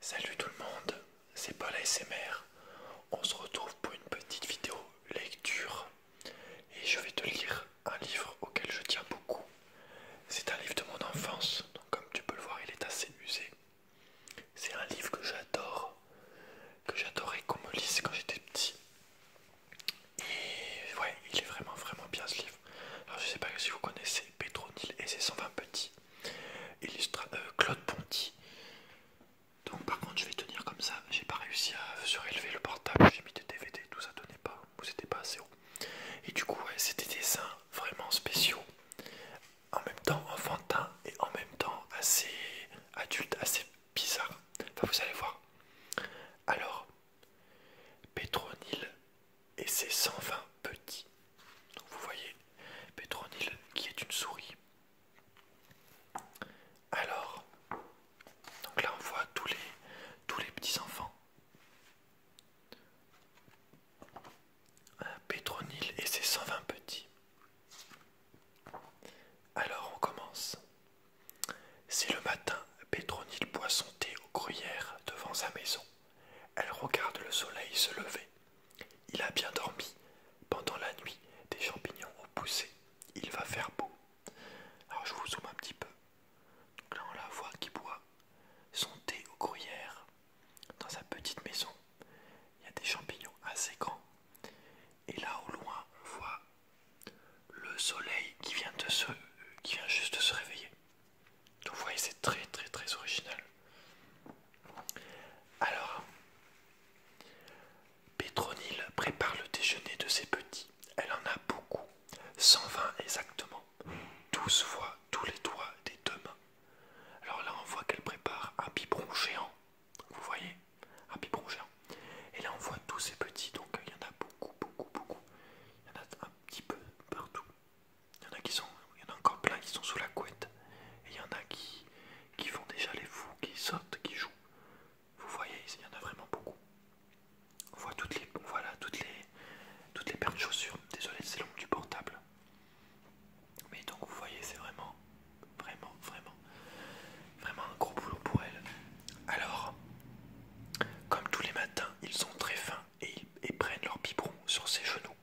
Salut tout le monde, c'est Paul ASMR. On se retrouve pour une petite vidéo lecture et je vais te lire un livre auquel je tiens beaucoup. C'est un livre de mon enfance, donc comme tu peux le voir, il est assez usé. C'est un livre que j'adore, que j'adorais qu'on me lise quand j'étais petit. Et ouais, il est vraiment vraiment bien ce livre. Alors je sais pas si vous connaissez Petronil et ses 120 petits. Illustra euh, Claude Ponty. Donc par contre je vais tenir comme ça, j'ai pas réussi à surélever le portable, j'ai mis des DVD, tout ça tenait pas, vous n'étiez pas assez haut. Et du coup c'était des dessins vraiment spéciaux, en même temps enfantin et en même temps assez adulte, assez bizarre. vous allez voir. Alors, Petronil et ses 120 petits. Donc vous voyez Pétronil qui est une souris. Alors, donc là on voit tous les, tous les petits enfants. Hein, Petronil et ses 120 petits. Alors on commence. C'est le matin, Pétronil boit son thé aux gruyères devant sa maison. Elle regarde le soleil se lever. Il a bien dormi. Pendant la nuit, des champignons ont poussé. Il va faire beau. Alors je vous zoome un petit peu. Donc là on la voit qui boit son thé aux gruyères dans sa petite maison. Il y a des champignons assez grands. Et là au loin on voit le soleil qui vient de se qui vient juste de se réveiller vous voyez, c'est très très très original. Alors, Pétronil prépare le déjeuner de ses petits. Elle en a beaucoup, 120 exactement, 12 fois tous les doigts des deux mains. Alors là, on voit qu'elle prépare un biberon géant. Vous voyez Un biberon géant. Et là, on voit tous ses petits, donc il y en a beaucoup, beaucoup, beaucoup. Il y en a un petit peu partout. Il y en a encore plein qui sont sous la couette. Et il y en a qui, qui font déjà les fous, qui sautent, qui jouent. Vous voyez, il y en a vraiment beaucoup. On voit toutes les, toutes les, toutes les paires de chaussures. Désolé, c'est l'ombre du portable. Mais donc vous voyez, c'est vraiment, vraiment, vraiment, vraiment un gros boulot pour elle. Alors, comme tous les matins, ils sont très fins et, ils, prennent leur biberon sur ses genoux.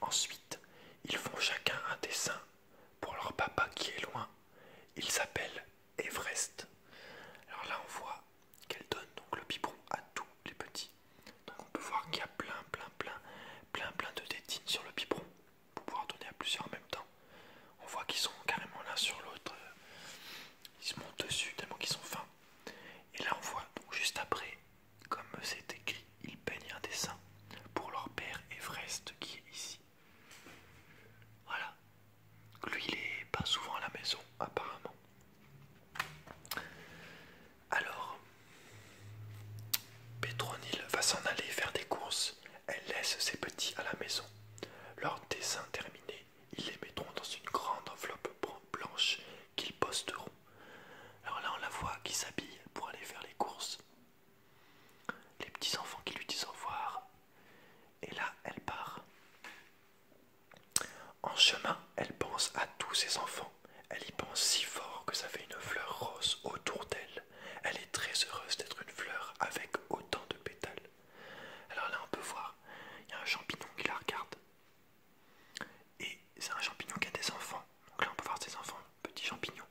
Ensuite, ils font chacun un dessin pour leur papa qui est loin. Il s'appelle Everest. Alors là, on voit qu'elle donne donc le biberon à tous les petits. Donc on peut voir qu'il y a plein, plein, plein, plein, plein de tétines sur le biberon pour pouvoir donner à plusieurs en même temps. On voit qu'ils sont carrément l'un sur l'autre. Ils se montent dessus tellement qu'ils sont fins. Et là on voit juste après, comme c'est écrit, ils peignent un dessin pour leur père Everest qui est ici. Voilà. Lui il est pas souvent à la maison apparemment. Alors, Petronil va s'en aller faire des courses. Elle laisse ses petits à la maison. Leur dessin terminé, ils les mettront dans une grande enveloppe blanche qu'ils posteront. Alors là, on la voit qui s'habille pour aller faire les courses. Les petits enfants qui lui disent au revoir. Et là, elle part. En chemin, elle pense à tous ses enfants. Elle y pense si fort que ça fait une fleur rose autour d'elle. Elle est très heureuse d'être une fleur avec autant de pétales. Alors là, on peut voir, il y a un champignon qui la regarde. Et c'est un champignon qui a des enfants. Donc là, on peut voir ses enfants, petits champignons.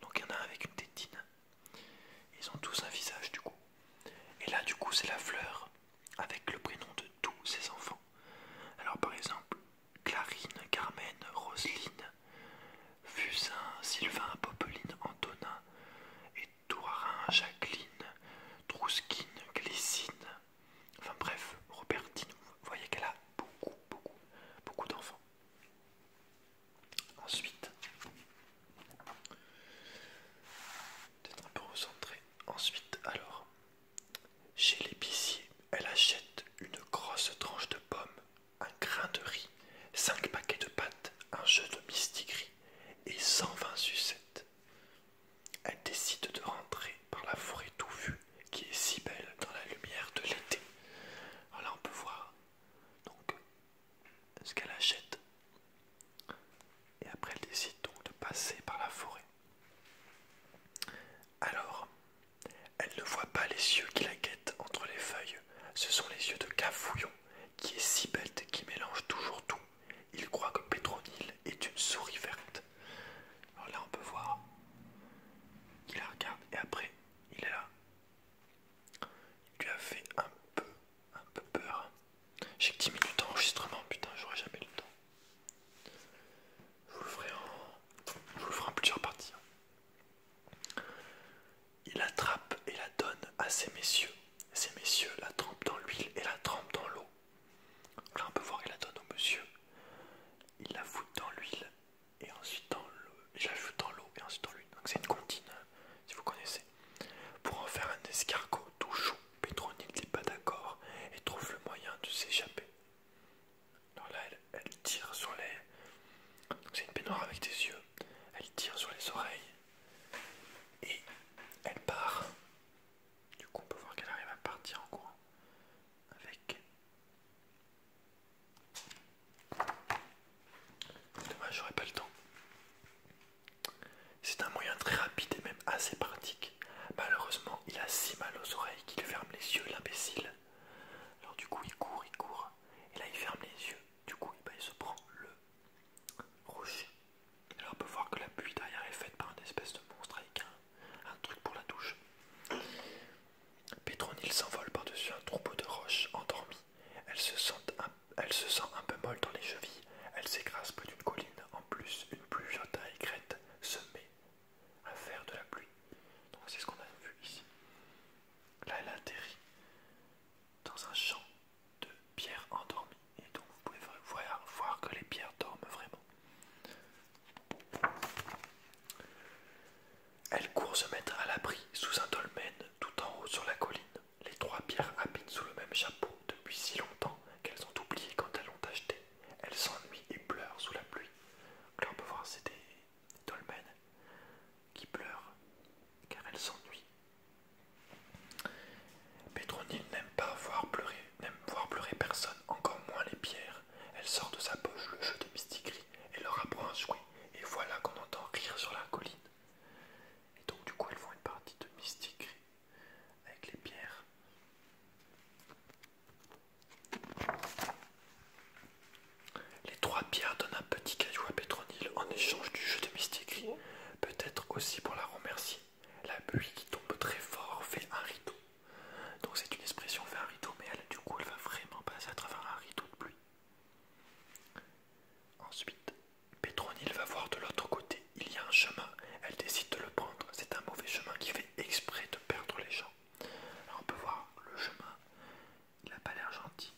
Donc il y en a un avec une tétine. Ils ont tous un visage, du coup. Et là, du coup, c'est la fleur avec le prénom de tous ses enfants. Alors par exemple, Clarine, Carmen, Roseline, Fusain, Sylvain, Popeline, Antonin et Tourarin, Jacqueline, Trouskine, Glissine, enfin bref, Robertine. Vous voyez qu'elle a beaucoup, beaucoup, beaucoup d'enfants. Ensuite, peut-être un peu recentré. Ensuite, alors, chez l'épicier, elle achète une grosse tranche de pommes, un grain de riz, cinq paquets de pâtes, un jeu de Mistigris et 120 sucettes. Elle décide de rentrer par la forêt tout vue qui est si belle dans la lumière de l'été. Alors là, on peut voir donc ce qu'elle achète. Et après, elle décide donc de passer par la forêt. Alors, elle ne voit pas les yeux qui la guettent entre les feuilles. Ce sont les yeux de Cafouillon, qui est si bête, qui mélange toujours tout il croit que Petronil est une souris verte. Alors là, on peut voir. Il la regarde et après, il est là. Il lui a fait un peu, un peu peur. J'ai que 10 minutes d'enregistrement, putain, j'aurai jamais le temps. Je vous le ferai en, plusieurs parties. Hein. Il attrape et la donne à ses messieurs ces messieurs la trempent dans l'huile et la trempent dans l'eau. Là, on peut voir, qu'il la donne au monsieur. Il la fout dans l'huile et ensuite dans l'eau. Il la fout dans l'eau et ensuite dans l'huile. Donc, c'est une contine, hein, si vous connaissez. Pour en faire un escargot tout chou Pétronille n'est pas d'accord et trouve le moyen de s'échapper. dans là, elle, tire sur les. C'est une peignoir avec des yeux. Elle tire sur les oreilles et elle part. Du coup, on peut voir qu'elle arrive à partir en courant avec. Dommage, j'aurais pas le temps. C'est un moyen très rapide et même assez pratique. Malheureusement, il a si mal aux oreilles qu'il ferme les yeux, l'imbécile. Alors, du coup, il court, il court, et là, il ferme les yeux. Du coup, eh ben, il se prend le rouge. alors on peut voir que la pluie derrière est faite par une espèce de monstre avec un, truc pour la douche. Pétronille s'envole par-dessus un troupeau de roches endormies. Elle se, sent un, elle se sent un peu molle dans les chevilles. Elle s'écrase près d'une colline. En plus, une pluie taille écrête se met à faire de la pluie. Donc c'est ce qu'on a vu ici. Là, elle atterrit dans un champ de pierres endormies. Et donc vous pouvez voir, que les pierres dorment vraiment. Elles courent se mettre à l'abri sous un dolmen tout en haut sur la colline. Les trois pierres habitent sous le même chapeau depuis si longtemps qu'elles ont oublié quand elles l'ont acheté. Elles s'ennuient et pleurent sous la pluie. Là on peut voir c'est des dolmens qui pleurent car elles s'ennuient Pétronille n'aime pas voir pleurer, n'aime voir pleurer personne, encore moins les pierres. Elle sort de sa poche le jeu de mystigris et leur apprend un jouet, et voilà qu'on entend rire sur la colline. Et donc du coup elles font une partie de gris avec les pierres. Les trois pierres donnent un petit caillou à Pétronille en échange du jeu de mystique. Peut-être aussi pour la remercier. La pluie qui tombe très fort fait un rideau. Donc c'est une expression fait un rideau, mais elle, du coup, elle va vraiment passer à travers un rideau de pluie. Ensuite, Pétronille va voir de l'autre côté. Il y a un chemin. Elle décide de le prendre. C'est un mauvais chemin qui fait exprès de perdre les gens. Alors on peut voir le chemin. Il n'a pas l'air gentil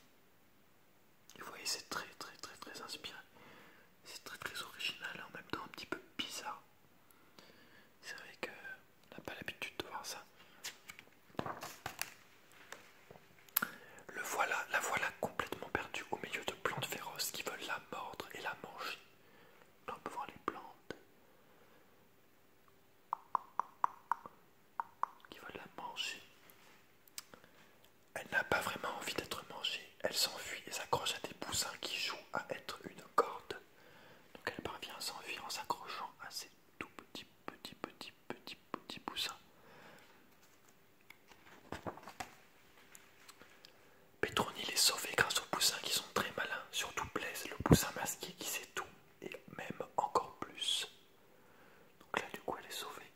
vous voyez, c'est très très très très inspiré. C'est très très original et en même temps un petit peu bizarre. C'est vrai que euh, n'a pas l'habitude de voir ça. Le voilà, la voilà complètement perdue au milieu de plantes féroces qui veulent la mordre et la manger. on peut voir les plantes qui va la manger. Elle n'a pas vraiment envie d'être mangée. Elle s'enfuit et s'accroche à des poussins qui jouent à être une corde. Donc elle parvient à s'enfuir en s'accrochant à ces tout petits, petits, petits, petits, petits poussins. Petroni est sauvée grâce aux poussins qui sont très malins, surtout Blaise, le poussin masqué qui sait tout et même encore plus. Donc là, du coup, elle est sauvée.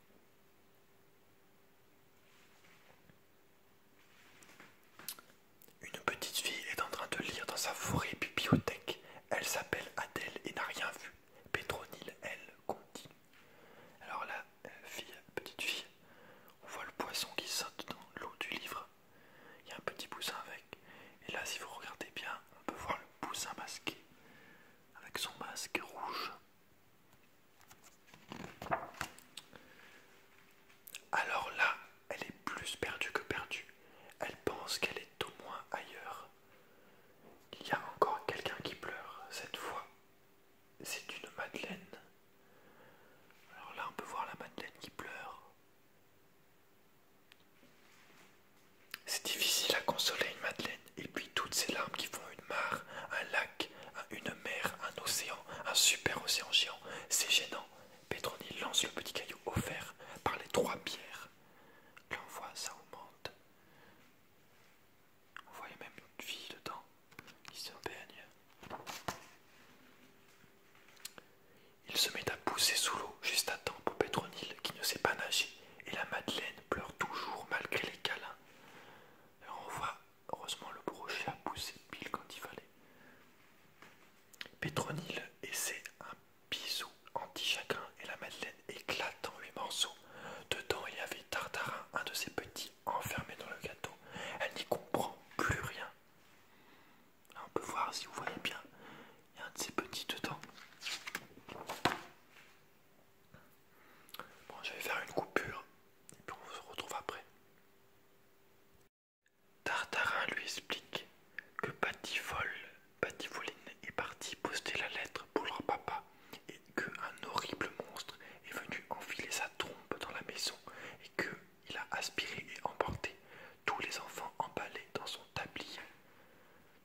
Une petite fille est en train de lire dans sa forêt bibliothèque. Elle s'appelle Adèle et n'a rien vu. Pétronille, elle, continue. Alors là, euh, fille, petite fille, on voit le poisson qui saute dans l'eau du livre. Il y a un petit poussin avec. Et là, si vous regardez bien, on peut voir le poussin masqué avec son masque rouge. Alors là, elle est plus perdue que perdue. Elle pense qu'elle est au moins ailleurs. Il y a encore quelqu'un qui pleure. Cette fois, c'est une madeleine. Alors là, on peut voir la madeleine qui pleure. C'est difficile à consoler une madeleine, et puis toutes ces larmes qui font une mare, un lac, une mer, un océan, un super océan géant, c'est gênant. pétronille lance le petit caillou offert par les trois pierres. voit, ça augmente. On voit même une fille dedans qui se baigne. Il se met à pousser sous l'eau juste à temps pour Pétronille qui ne sait pas nager et la Madeleine pleure toujours malgré les câlins. on voit, heureusement, le brochet a poussé pile quand il fallait. Pétronille essaie un bisou anti-chacun et la Madeleine éclate en huit morceaux. Dedans, il y avait Tartarin, un de ses petits, enfermé dans le gâteau. Elle n'y comprend plus rien. on peut voir, si vous voyez bien, il un de ces petits dedans. Bon, je vais faire une coupure et puis on se retrouve après. Tartarin lui explique que Patty voline est parti poster la lettre pour leur papa et qu'un horrible monstre est venu enfiler sa trompe dans la maison et qu'il a aspiré et emporté tous les enfants emballés dans son tablier.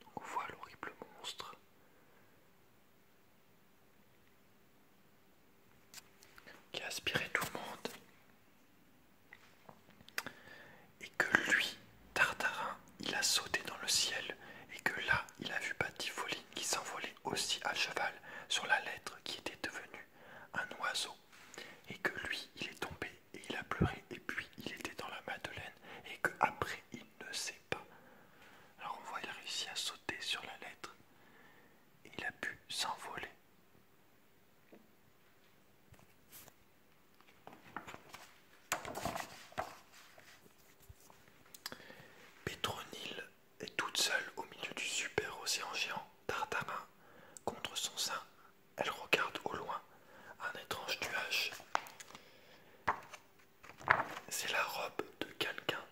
Donc on voit l'horrible monstre. Qui a aspiré tout le monde. Et que lui, Tartarin, il a sauté dans le ciel. Et que là, il a vu Patifoline qui s'envolait aussi à cheval sur la lettre qui était devenue un oiseau. Et que lui, il est tombé et il a pleuré et puis il était dans la Madeleine et qu'après il ne sait pas. Alors on voit il a réussi à sauter sur la lettre il a pu s'envoler. Pétronille est toute seule au milieu du super océan géant Tartarin contre son sein elle regarde au loin un étrange nuage. C'est la robe de quelqu'un.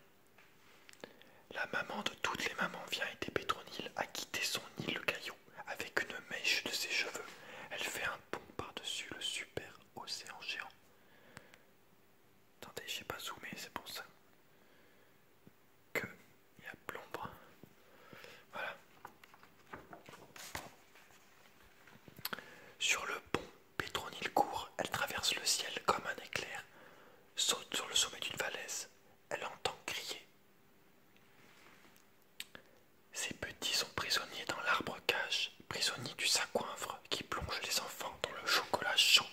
La maman de toutes les mamans vient aider Pétronille à quitter son île le caillou avec une mèche de ses cheveux. Elle fait un pont par-dessus le super océan géant. Attendez, j'ai pas zoomé, c'est pour ça que il y a plombre. Voilà. Sur le pont, Pétronil court, elle traverse le ciel comme un éclair, saute sur le sommet d'une falaise, elle entend crier. Ces petits sont prisonniers dans l'arbre-cage, prisonniers du sacoinfre qui plonge les enfants dans le chocolat chaud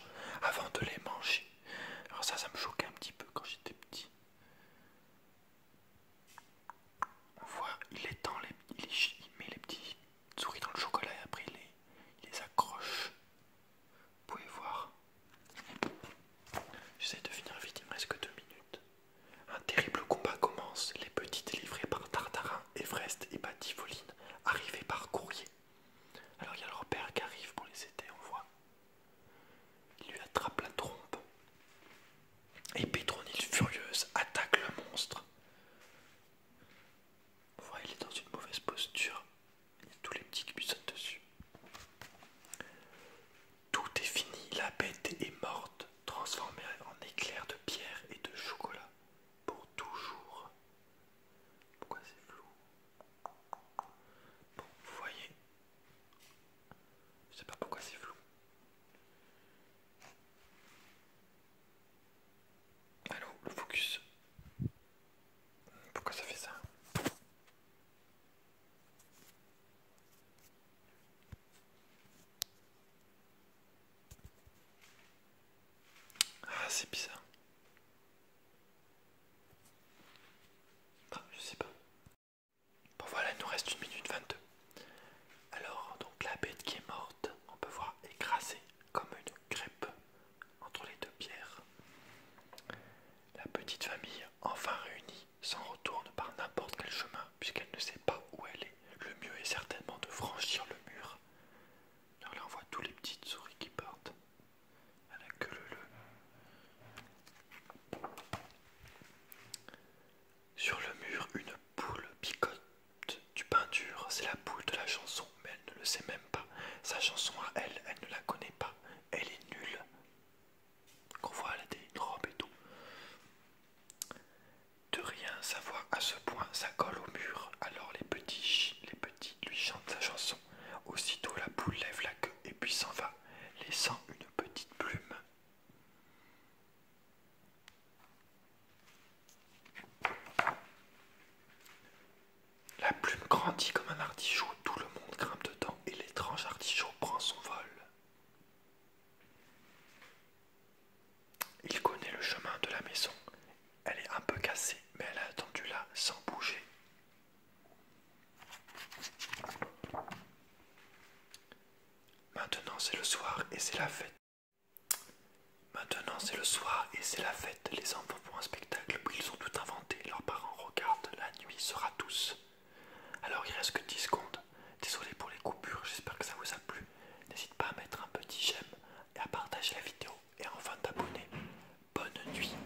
avant de les manger. Alors ça, ça me choquait un petit peu quand j'étais petit. On voit, il étend les, il, met les petits souris dans le chocolat et après il les, accroche. Vous pouvez voir. J'essaie de finir vite, il me reste que deux minutes. Un terrible combat commence. Les petits livrées par Tartarin, Everest et Batifoline arrivent par courrier. Alors il y a leur père qui arrive pour les aider, on voit. Il lui attrape la trompe. Et Pétronille, furieuse, attaque le monstre. il est dans une mauvaise posture. Il y a tous les petits qui lui dessus. Tout est fini, la bête est morte, transformée en éclair de pierre et de chocolat. Pour toujours. Pourquoi c'est flou Bon, vous voyez, je sais pas pourquoi c'est flou. Allô, le focus. Pourquoi ça fait ça Ah, c'est bizarre. Ah, je sais pas. Bon voilà, il nous reste une minute 22. Alors, donc la bête qui est morte, on peut voir écrasée comme une crêpe entre les deux pierres. La petite famille, enfin réunie, s'en retourne par n'importe quel chemin puisqu'elle ne sait pas où elle est. Le mieux est certainement de franchir le mur. Alors là, on voit tous les petites souris qui partent. Sur le mur, une poule picote du peinture. C'est la poule de la chanson, mais elle ne le sait même pas. Sa chanson à elle, elle ne la connaît pas. Elle est nulle. Qu'on voit, elle a une robe et tout. De rien sa voix à ce point, ça colle au mur. Alors les petits, les petits lui chantent sa chanson. Aussitôt la poule lève la queue et puis s'en va, laissant une petite plume. La plume grandit comme un artichaut, tout le monde grimpe dedans et l'étrange artichaut prend son vol. Il connaît le chemin de la maison. Elle est un peu cassée, mais elle a attendu là sans bouger. Maintenant c'est le soir et c'est la fête. Maintenant c'est le soir et c'est la fête. Les enfants font un spectacle où ils ont tout inventé. Leurs parents regardent. La nuit sera douce. Alors il reste que 10 secondes. Désolé pour les coupures, j'espère que ça vous a plu. N'hésite pas à mettre un petit j'aime et à partager la vidéo. Et enfin t'abonner. Bonne nuit.